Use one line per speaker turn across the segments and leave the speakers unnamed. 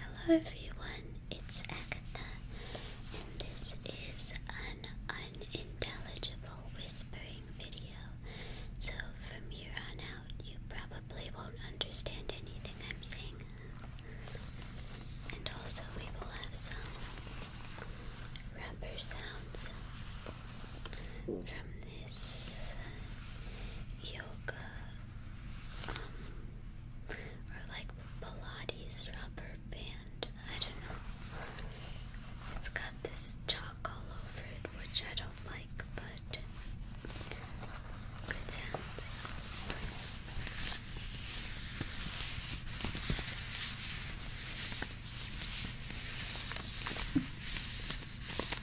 Hello everyone, it's Agatha, and this is an unintelligible whispering video. So from here on out, you probably won't understand anything I'm saying. And also, we will have some rubber sounds from this yoga or like Pilates rubber band. I don't know. It's got this chalk all over it, which I don't like, but good sounds.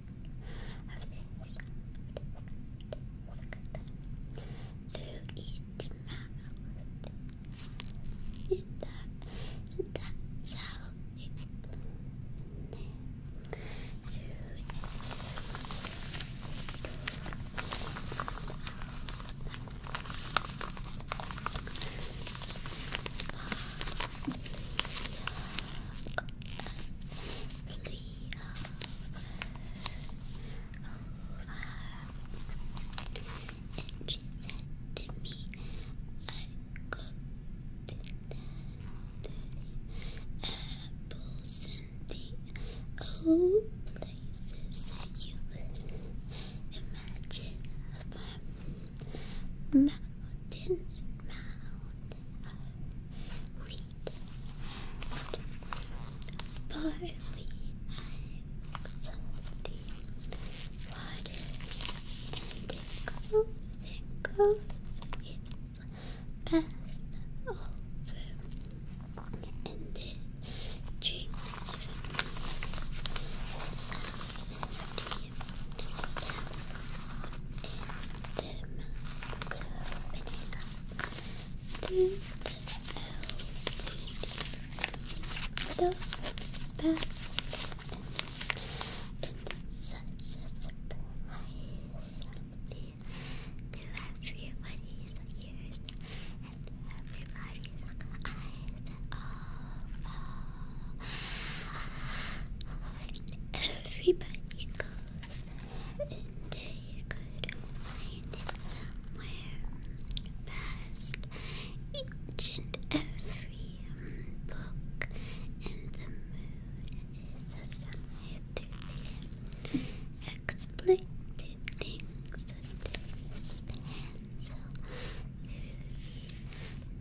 of things through each mouth. And, that, and that's how through every sea of over. And she me, I cooked the apples and the places that you could imagine from mountains, mountains barley and something water, and it goes and goes, it's passed over, and it drinks from me. Dim. So banana. D L D D. The basket. It's such a surprise someday everybody's ears and everybody's eyes all, all. Everybody goes and you could find it somewhere past each and every book, and the moon is the sunlight through the exploited things that pencil through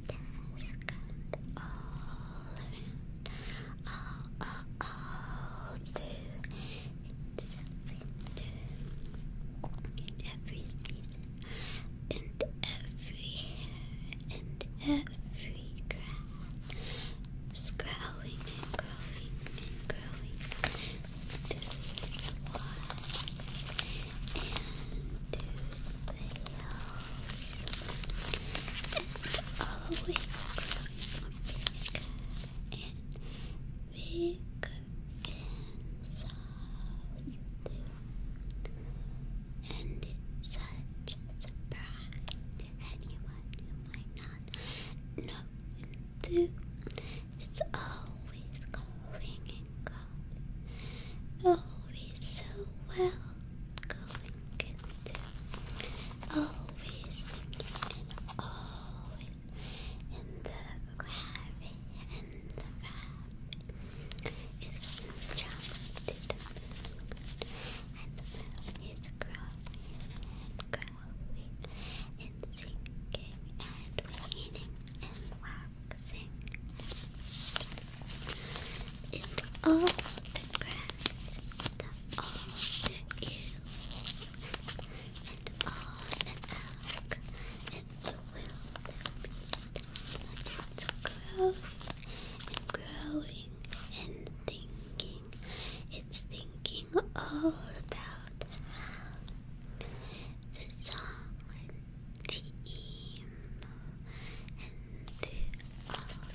the all relevant all, all, all through it's something in every season every hair and every grass just growing and growing and growing through the water and through the hills always growing bigger and bigger and softer. And it's such a surprise to anyone who might not know into. It's always going and going, always so well good. Always thinking and always in the gravity and the vibe. It's not and the moon is growing growing and sinking and waning and waxing and all the grass, and all the eels, and all the elk, and the wild beast. And it's growing and growing and thinking. It's thinking all about how the song and the emo and the all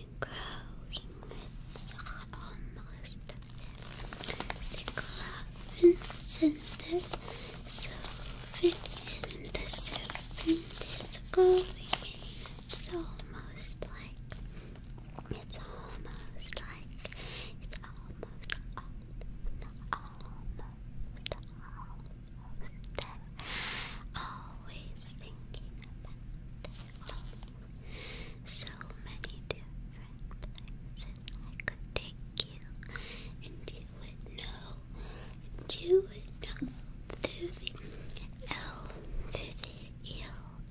growing with almost Cycloven scented sylvan and the serpent is going It's almost like, it's almost like, it's almost, almost, almost, almost there always thinking about it So many different places I could take you, and you would know, and you would know through the L, through the E,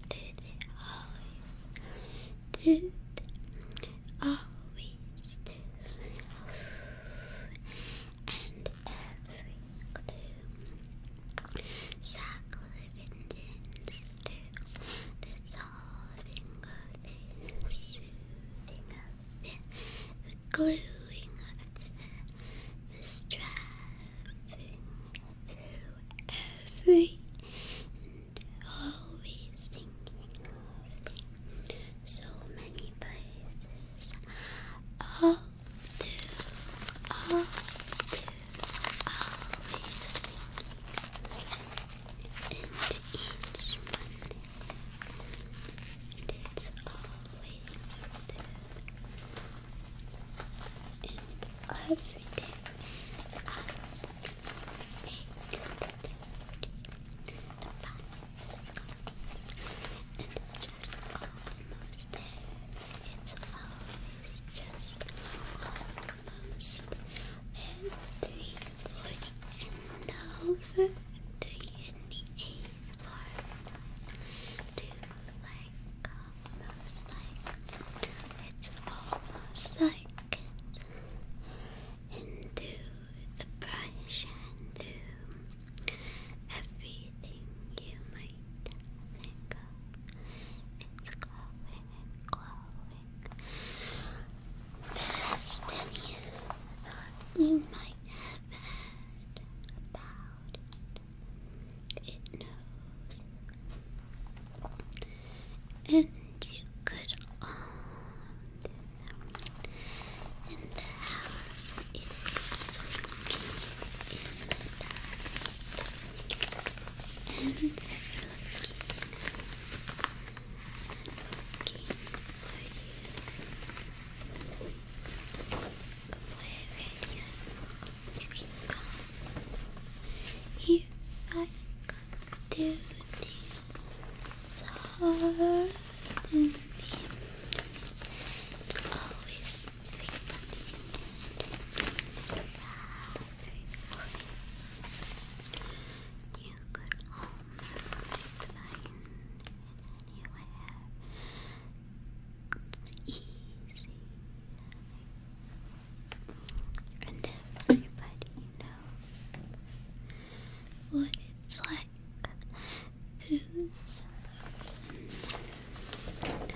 through the always, through always, and every clue. Circle the vengeance the solving of the soothing of the, the gluing of the, the striving through every and always thinking of so many places Oh, do, always and each Monday, it's always do, and every day at 8.30, the and just almost there. It's always just almost and three forty and over three in the eight four two like almost like it's almost like and do the brush and Everything you might think of is glowing glowing faster than you might have had about it. It knows. And you could all do in the house it is soaking in the tap. And looking, looking for you. Wherever you, you can come. If I could do things harder than me, it's always fun. You could almost find anywhere. It's easy. And everybody knows what it's like to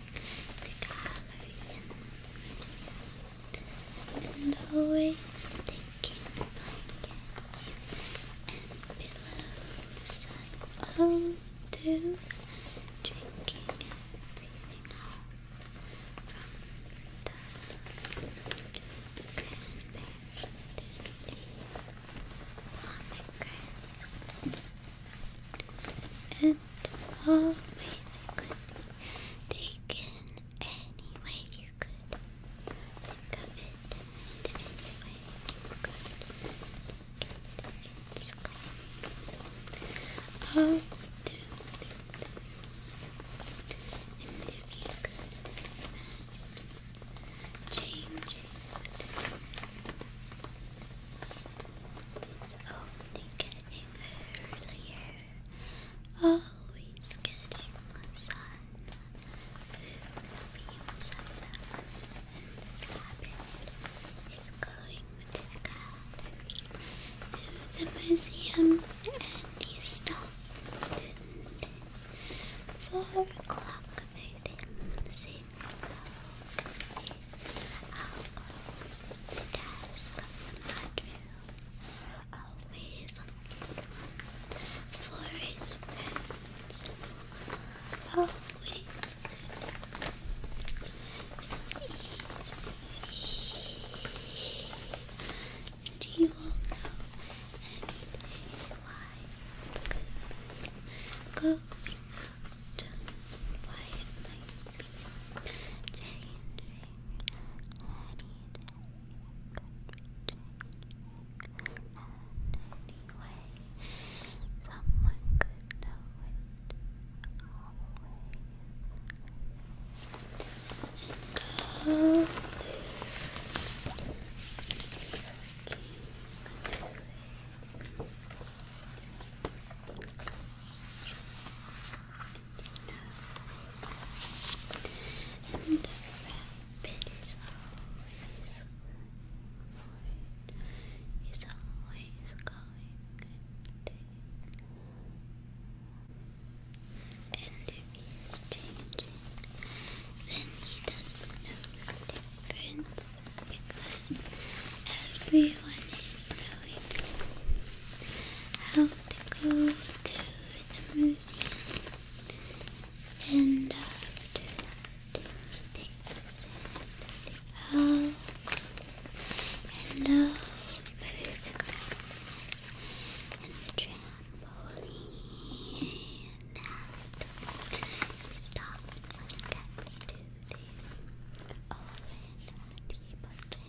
the gallery, and always taking blankets and pillows. I all do, drinking everything up from the cranberry to the pomegranate and always could be taken any way you could think it, any way you could it's coming all through, through, and if you could imagine changing it's only getting getting earlier. Always getting sun. Food beams on the and the going to the garden, to the museum, and he stopped and four o'clock they didn't sing the task the madrill, always looking for his friends, always looking. you will know any why go why it changing anything could anyway someone could know it always and go through sucking through and the rabbit is always He's always going and And if then he doesn't know the difference because everyone is knowing how to go to the museum and after that takes all and over the grass and the trampoline and stop when it gets to the oh and the bucket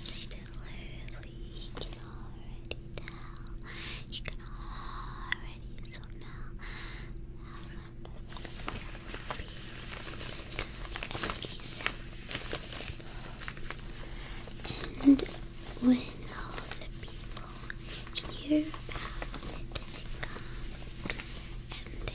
It's still early, you can already tell. You can already so now and when all the people hear about it, they come and they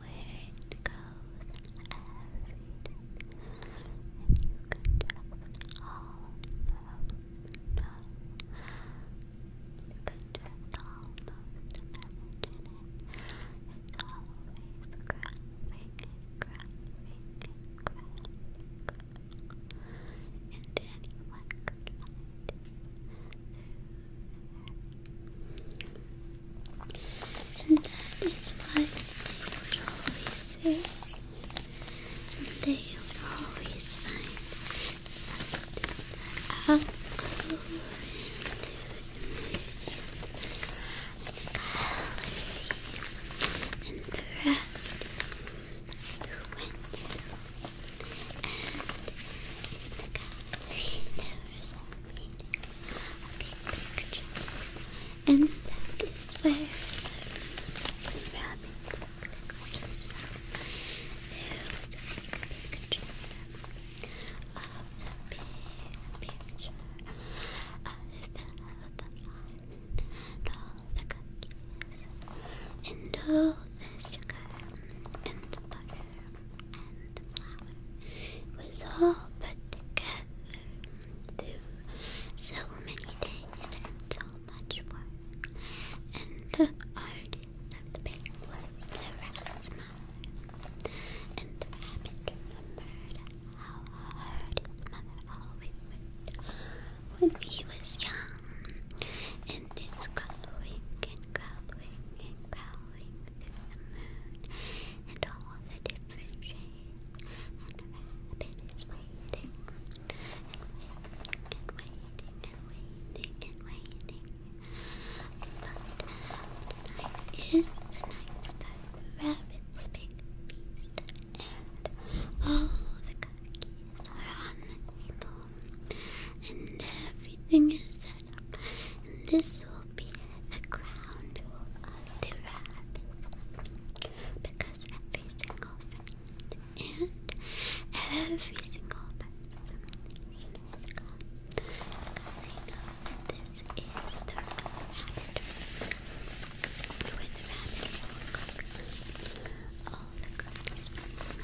where it goes every day. And you can just all know, know. You can just almost imagine it. It's always growing and growing and growing, growing. And anyone could light it. And that is why they would always say, they would always find something that I'll music and the gallery the raft who went And in the gallery there was a big picture. And that is where the rabbit is from. There a picture of the big picture. I felt the light all the cookies and all the sugar and butter it was all put together through so many days and so much work. And the artist of the paint was the rat's mother. And the rabbit remembered how hard his mother always worked when he was young. And it's growing and growing and growing going the moon and all the different shades, and the rabbit is waiting and waiting and waiting and waiting and waiting. But tonight the night that the rabbit's big feast and all the cookies are on the table and everything is and this will be the crown of the rabbit. Because every single friend and every single person has come. Because I know this is the rabbit with rabbit all the goodies from the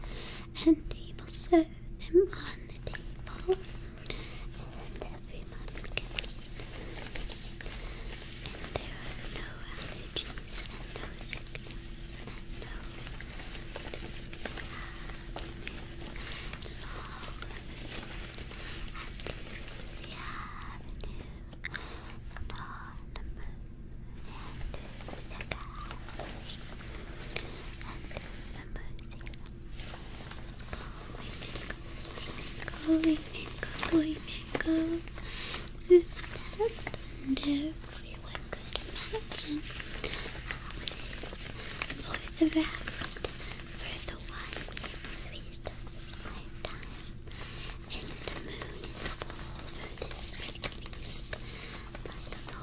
mother's And table service Put them on the table and everyone can and there are no allergies and no sickness and no Long and through the avenue and on the moon and through the clouds Going and going and going through that and everyone could imagine how it is for the rabbit, for the wild movie star's lifetime, and the moon is full for this big beast,